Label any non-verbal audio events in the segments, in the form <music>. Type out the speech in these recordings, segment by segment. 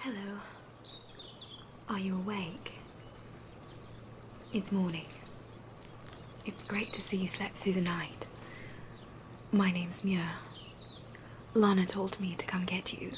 Hello. Are you awake? It's morning. It's great to see you slept through the night. My name's Muir. Lana told me to come get you.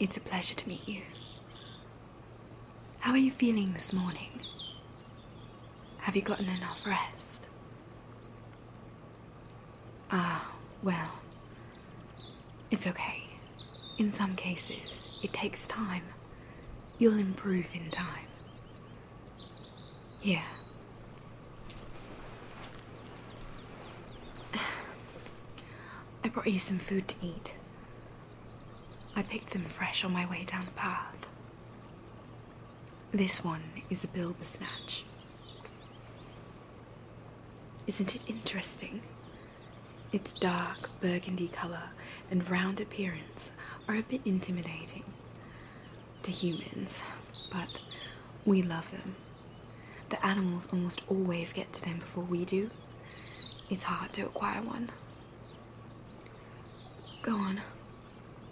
It's a pleasure to meet you. How are you feeling this morning? Have you gotten enough rest? Ah, well. It's okay. In some cases, it takes time. You'll improve in time. Yeah. <sighs> I brought you some food to eat. I picked them fresh on my way down the path. This one is a bilber snatch. Isn't it interesting? Its dark burgundy colour and round appearance are a bit intimidating to humans, but we love them. The animals almost always get to them before we do. It's hard to acquire one. Go on,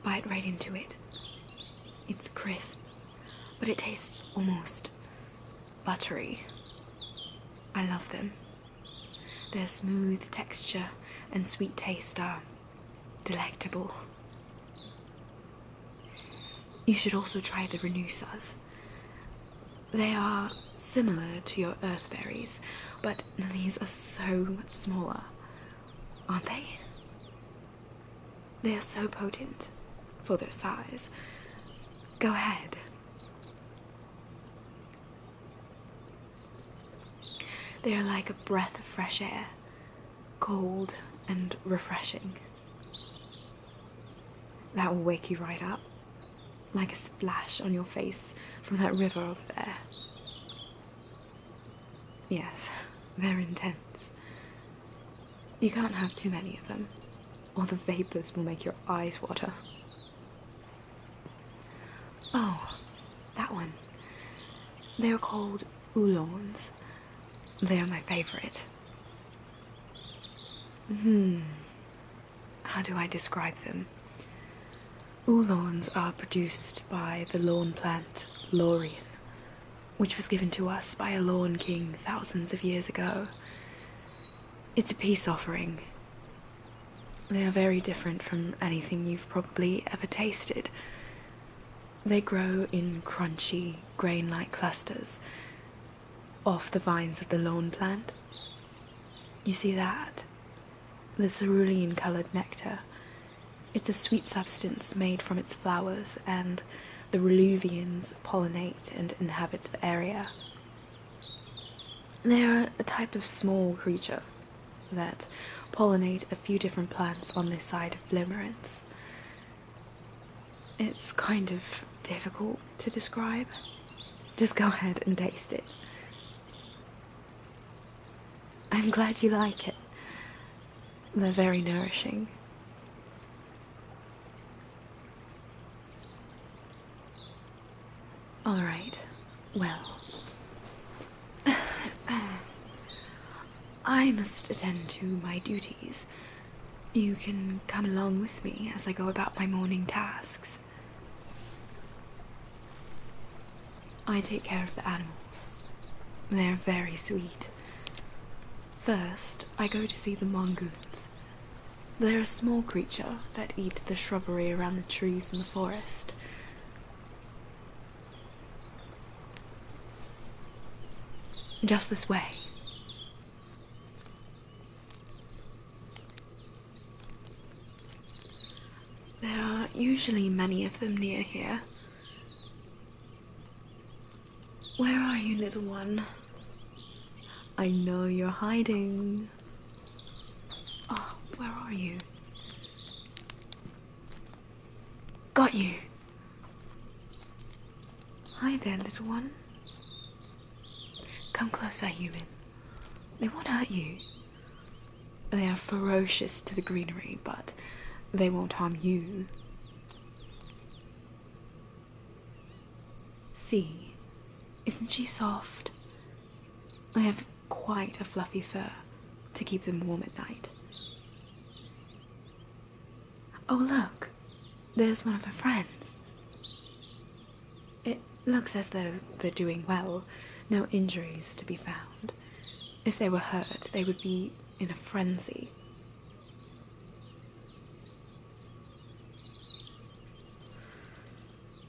bite right into it. It's crisp, but it tastes almost buttery. I love them. Their smooth texture and sweet taste are delectable. You should also try the Renusas. They are similar to your earth berries, but these are so much smaller, aren't they? They are so potent for their size. Go ahead. They are like a breath of fresh air, cold and refreshing. That will wake you right up, like a splash on your face from that river over there. Yes, they're intense. You can't have too many of them, or the vapours will make your eyes water. Oh, that one. They are called oolongs. They are my favourite. Hmm. How do I describe them? Oolongs are produced by the lawn plant Laurian, which was given to us by a Lawn King thousands of years ago. It's a peace offering. They are very different from anything you've probably ever tasted. They grow in crunchy, grain like clusters off the vines of the lawn plant. You see that? The cerulean coloured nectar it's a sweet substance made from its flowers, and the Reluvians pollinate and inhabit the area. They are a type of small creature that pollinate a few different plants on this side of Limerence. It's kind of difficult to describe. Just go ahead and taste it. I'm glad you like it. They're very nourishing. All right. Well. <sighs> I must attend to my duties. You can come along with me as I go about my morning tasks. I take care of the animals. They're very sweet. First, I go to see the mongoose. They're a small creature that eat the shrubbery around the trees in the forest. Just this way. There are usually many of them near here. Where are you, little one? I know you're hiding. Oh, where are you? Got you! Hi there, little one. Come closer, human. They won't hurt you. They are ferocious to the greenery, but they won't harm you. See, isn't she soft? They have quite a fluffy fur to keep them warm at night. Oh, look, there's one of her friends. It looks as though they're doing well, no injuries to be found. If they were hurt, they would be in a frenzy.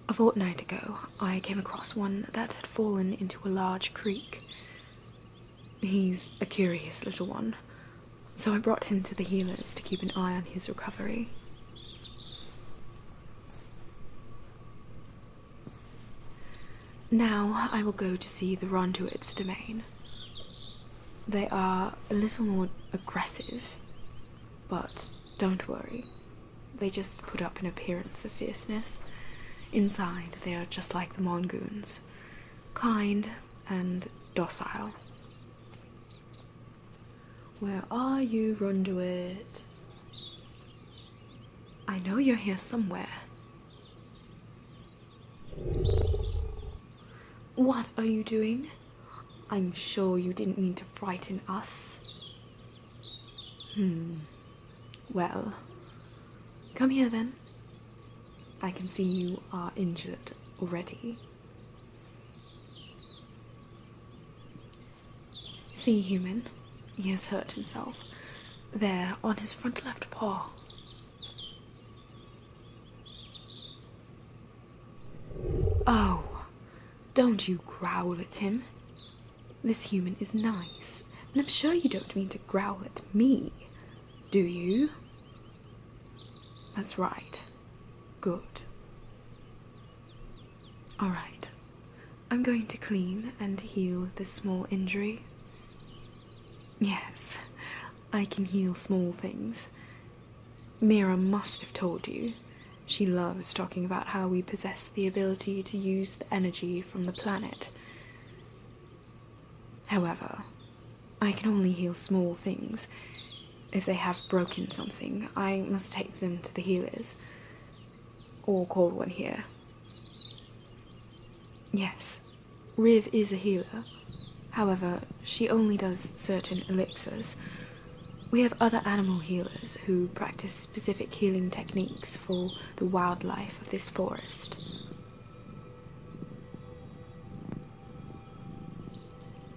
A fortnight ago, I came across one that had fallen into a large creek. He's a curious little one, so I brought him to the healers to keep an eye on his recovery. Now I will go to see the Ronduit's domain. They are a little more aggressive, but don't worry. They just put up an appearance of fierceness. Inside, they are just like the Mongoons kind and docile. Where are you, Ronduit? I know you're here somewhere. What are you doing? I'm sure you didn't mean to frighten us. Hmm. Well, come here then. I can see you are injured already. See, human, he has hurt himself, there on his front left paw. Oh, don't you growl at him. This human is nice, and I'm sure you don't mean to growl at me, do you? That's right. Good. Alright, I'm going to clean and heal this small injury. Yes, I can heal small things. Mira must have told you. She loves talking about how we possess the ability to use the energy from the planet. However, I can only heal small things. If they have broken something, I must take them to the healers. Or call one here. Yes, Riv is a healer. However, she only does certain elixirs. We have other animal healers who practice specific healing techniques for the wildlife of this forest.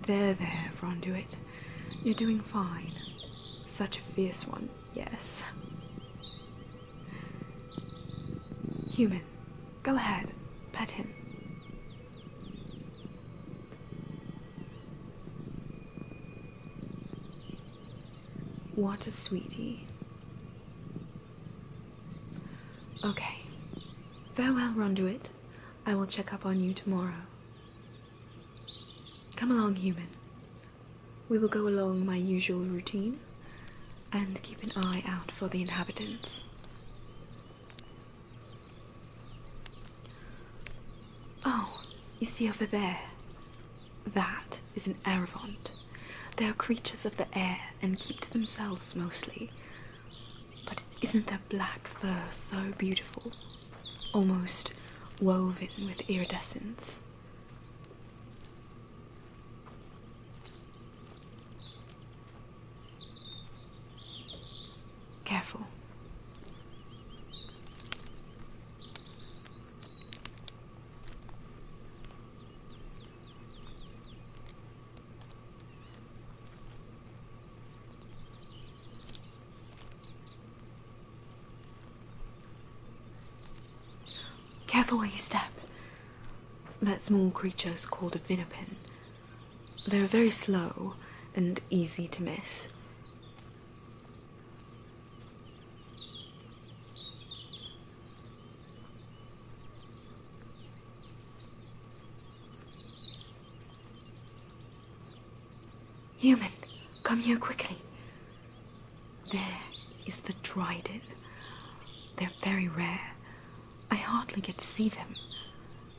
There, there, Ronduit. You're doing fine. Such a fierce one, yes. Human, go ahead. Pet him. What a sweetie. Okay. Farewell, Ronduit. I will check up on you tomorrow. Come along, human. We will go along my usual routine and keep an eye out for the inhabitants. Oh, you see over there? That is an Erevant. They are creatures of the air and keep to themselves mostly. But isn't their black fur so beautiful? Almost woven with iridescence. Careful. Careful where you step. That small creature is called a vinnipin. They're very slow and easy to miss. Human, come here quickly. There is the Dryden. They're very rare. I hardly get to see them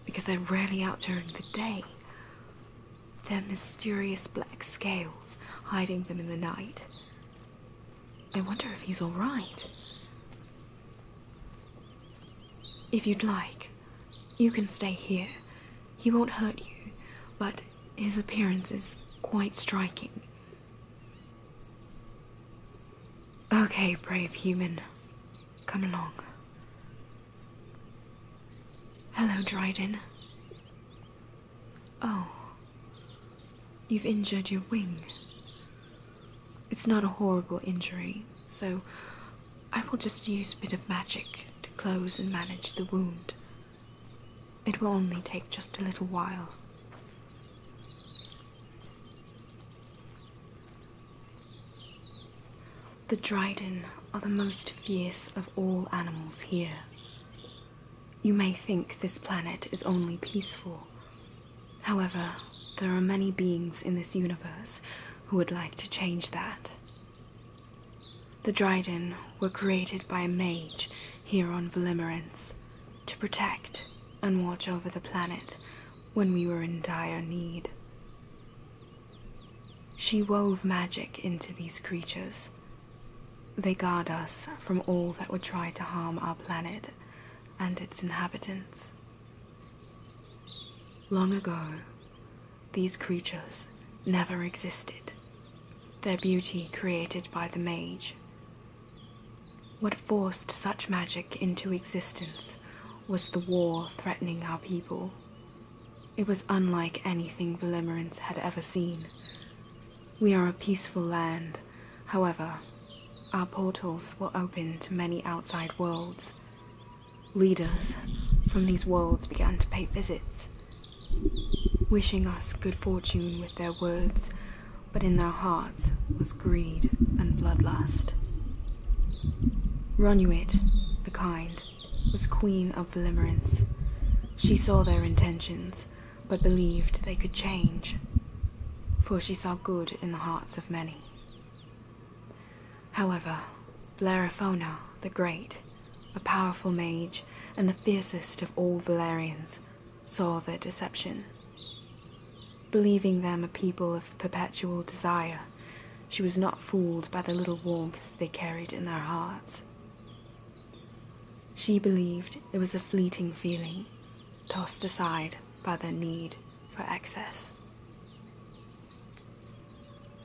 because they're rarely out during the day. Their mysterious black scales hiding them in the night. I wonder if he's alright. If you'd like, you can stay here. He won't hurt you, but his appearance is quite striking. Okay, brave human. Come along. Hello, Dryden. Oh. You've injured your wing. It's not a horrible injury, so I will just use a bit of magic to close and manage the wound. It will only take just a little while. The Dryden are the most fierce of all animals here. You may think this planet is only peaceful. However, there are many beings in this universe who would like to change that. The Dryden were created by a mage here on Velimerence to protect and watch over the planet when we were in dire need. She wove magic into these creatures. They guard us from all that would try to harm our planet and its inhabitants. Long ago, these creatures never existed their beauty created by the mage. What forced such magic into existence was the war threatening our people. It was unlike anything Velimerans had ever seen. We are a peaceful land, however, our portals were open to many outside worlds. Leaders from these worlds began to pay visits, wishing us good fortune with their words, but in their hearts was greed and bloodlust. Ronuit, the kind, was queen of Limerence. She saw their intentions, but believed they could change, for she saw good in the hearts of many. However, Bleraphona the Great a powerful mage and the fiercest of all Valerians, saw their deception. Believing them a people of perpetual desire, she was not fooled by the little warmth they carried in their hearts. She believed it was a fleeting feeling, tossed aside by their need for excess.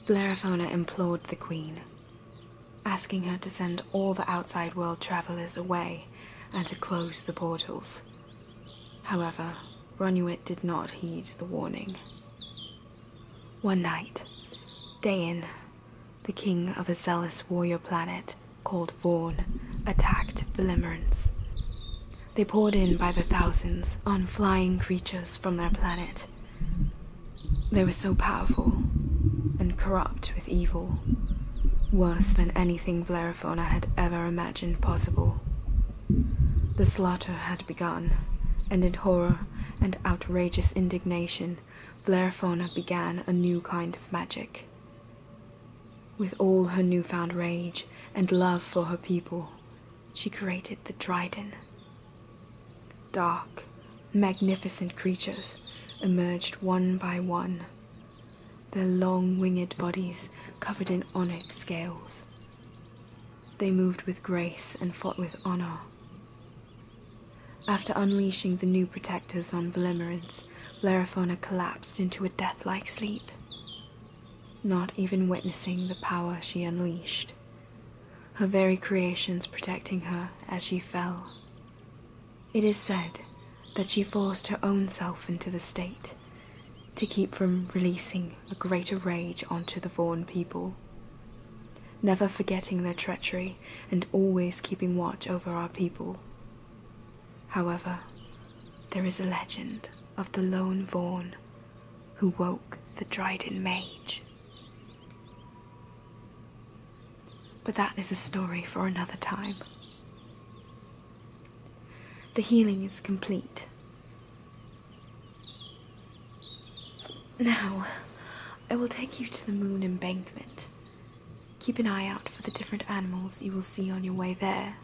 Bellerophona implored the queen asking her to send all the outside world travelers away and to close the portals. However, Ronuit did not heed the warning. One night, Dayan, the king of a zealous warrior planet called Vorn attacked the Limerence. They poured in by the thousands on flying creatures from their planet, they were so powerful and corrupt with evil, worse than anything Vlerifona had ever imagined possible. The slaughter had begun, and in horror and outrageous indignation, Vlerifona began a new kind of magic. With all her newfound rage and love for her people, she created the Dryden, Dark, magnificent creatures emerged one by one, their long winged bodies covered in onyx scales. They moved with grace and fought with honor. After unleashing the new protectors on Velimorance, Lariphona collapsed into a deathlike sleep, not even witnessing the power she unleashed, her very creations protecting her as she fell. It is said that she forced her own self into the state to keep from releasing a greater rage onto the Vaughan people, never forgetting their treachery and always keeping watch over our people. However, there is a legend of the lone Vaughan who woke the Dryden Mage. But that is a story for another time. The healing is complete. Now, I will take you to the moon embankment. Keep an eye out for the different animals you will see on your way there.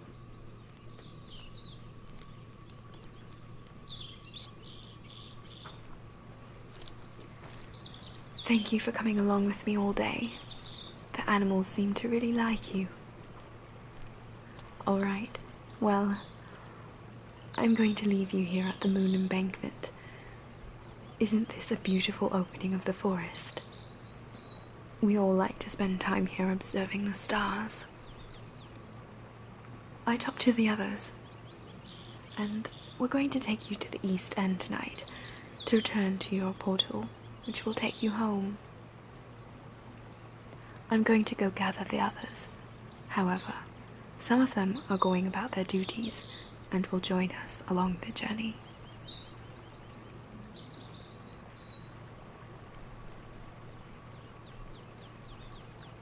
Thank you for coming along with me all day. The animals seem to really like you. All right, well, I'm going to leave you here at the moon embankment. Isn't this a beautiful opening of the forest? We all like to spend time here observing the stars. I talked to the others, and we're going to take you to the East End tonight to return to your portal, which will take you home. I'm going to go gather the others. However, some of them are going about their duties and will join us along the journey.